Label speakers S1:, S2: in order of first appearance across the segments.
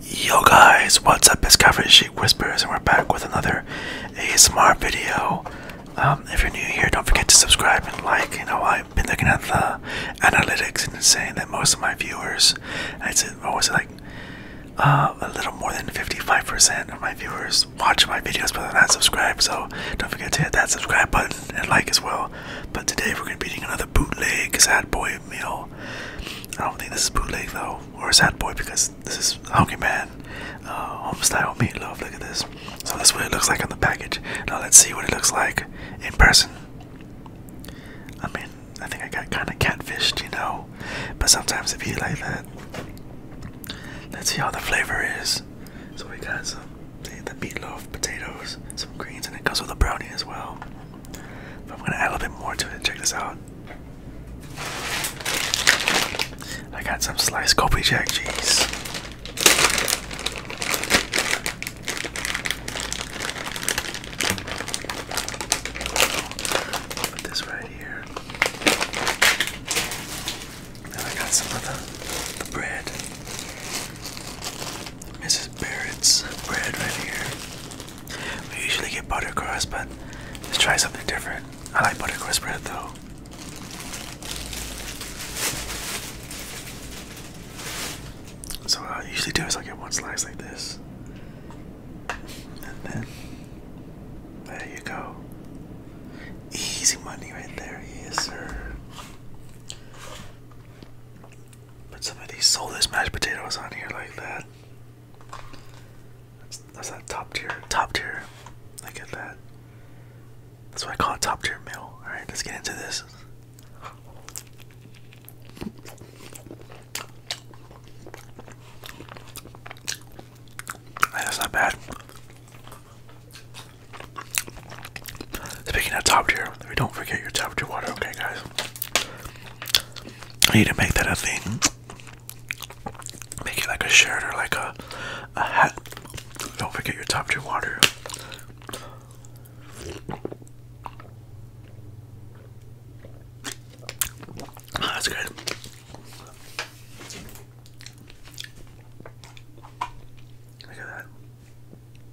S1: Yo guys, what's up? It's Calvin Sheik Whispers, and we're back with another ASMR video. Um, if you're new here, don't forget to subscribe and like. You know, I've been looking at the analytics and saying that most of my viewers, it's what was it like, uh, a little more than 55% of my viewers watch my videos but they're not subscribed. So don't forget to hit that subscribe button and like as well. But today we're gonna be doing another the bootleg Sad Boy meal. I don't think this is bootleg though, or Sad Boy because this is Hungry Man uh, home style meatloaf. Look at this. So that's what it looks like on the package. Now let's see what it looks like in person. I mean, I think I got kind of catfished, you know. But sometimes it be like that. Let's see how the flavor is. So we got some the meatloaf, potatoes, some greens, and it comes with a brownie as well. I'm gonna add a little bit more to it. Check this out. I got some sliced Kobe Jack cheese. Put this right here. Then I got some of the bread. Mrs. Barrett's bread right here. We usually get buttercross, but let's try something different. I like buttercross bread though. So what I usually do is I get one slice like this, and then there you go. Easy money right there, yes sir. But some of these soulless mashed potatoes on here like that. That's, that top tier. Top tier. Look at that. That's what I call a top tier meal. Alright, let's get into this. That's not bad. Speaking of top tier, we don't forget your top tier water, okay, guys? I need to make that a thing. Make it like a shirt or like a a hat. Don't forget your top tier water. Ah, that's good. Look at that.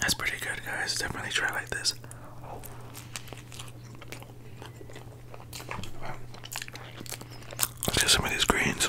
S1: That's pretty good, guys. Definitely try like this. let some of these greens.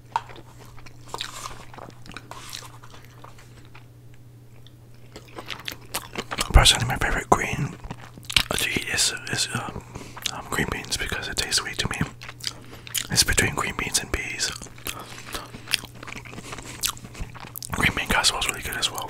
S1: Personally, my favorite green uh, to eat is, is um, um, green beans because it tastes sweet to me. It's between green beans and peas. Green bean casserole is really good as well.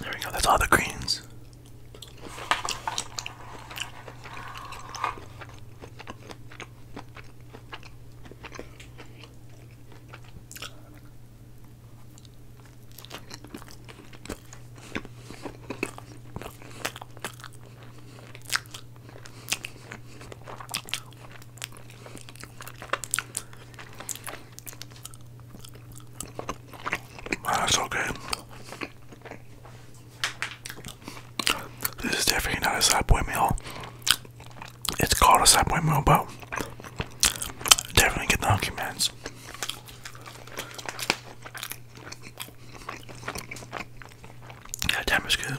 S1: There we go, that's all the greens. That's ah, okay. This is definitely not a Subway meal. It's called a Subway meal, but definitely get the Hunky Man's. Yeah, damn, it's good.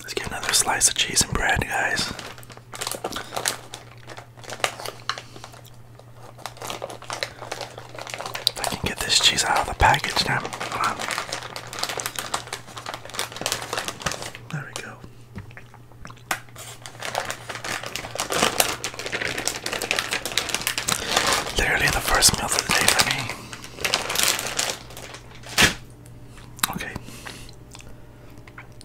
S1: Let's get another slice of cheese and bread, guys. If I can get this cheese out of the package now. There we go. Literally the first meal of the day for me. Okay.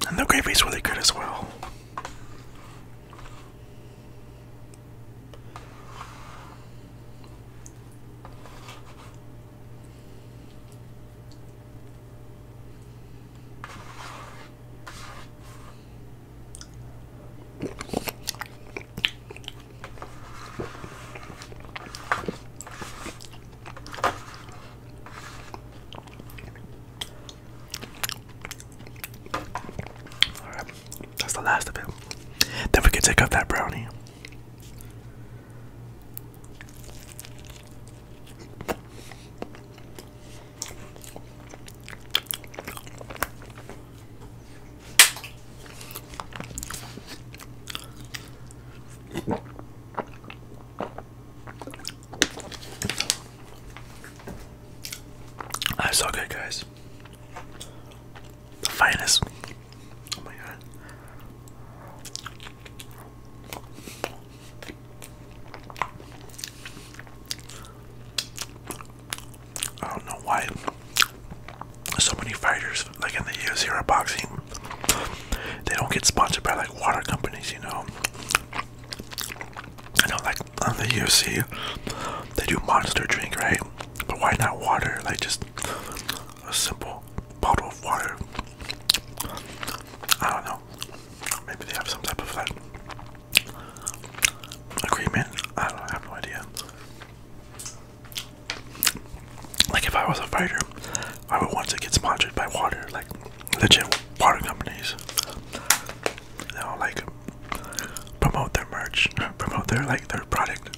S1: And the gravy is really good as well. All right, that's the last of it. Then we can take up that brownie. That's all good, guys. The finest Oh my god. I don't know why so many fighters, like in the UFC or boxing, they don't get sponsored by like water companies, you know. I know, like on the UFC, they do monster drink, right? But why not water? Like, just a simple bottle of water. I don't know. Maybe they have some type of like agreement. I don't have no idea. Like if I was a fighter, I would want to get sponsored by water, like legit water companies. You know, like promote their merch, promote their like their product.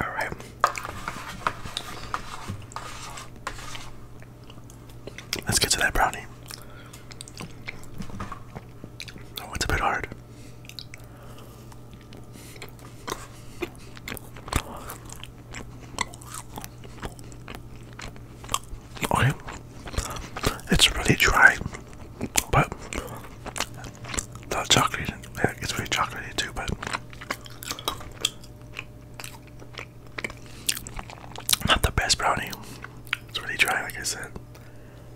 S1: All right. Let's get to that brownie. Oh, it's a bit hard. Okay, it's really dry, but the chocolate, it's very chocolatey too, but not the best brownie. It's really dry, like I said.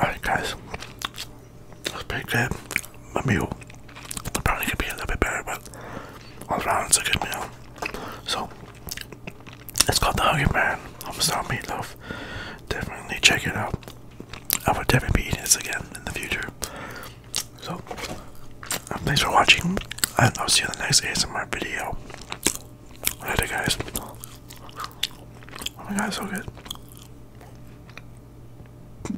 S1: Alright guys, let's pick that my meal probably could be a little bit better, but all around it's a good meal. So it's called the Hungry Man Homestyle Meatloaf. Definitely check it out. I would definitely be eating this again in the future. So thanks for watching, and I'll see you in the next ASMR video. Later, guys. Oh my god, so good.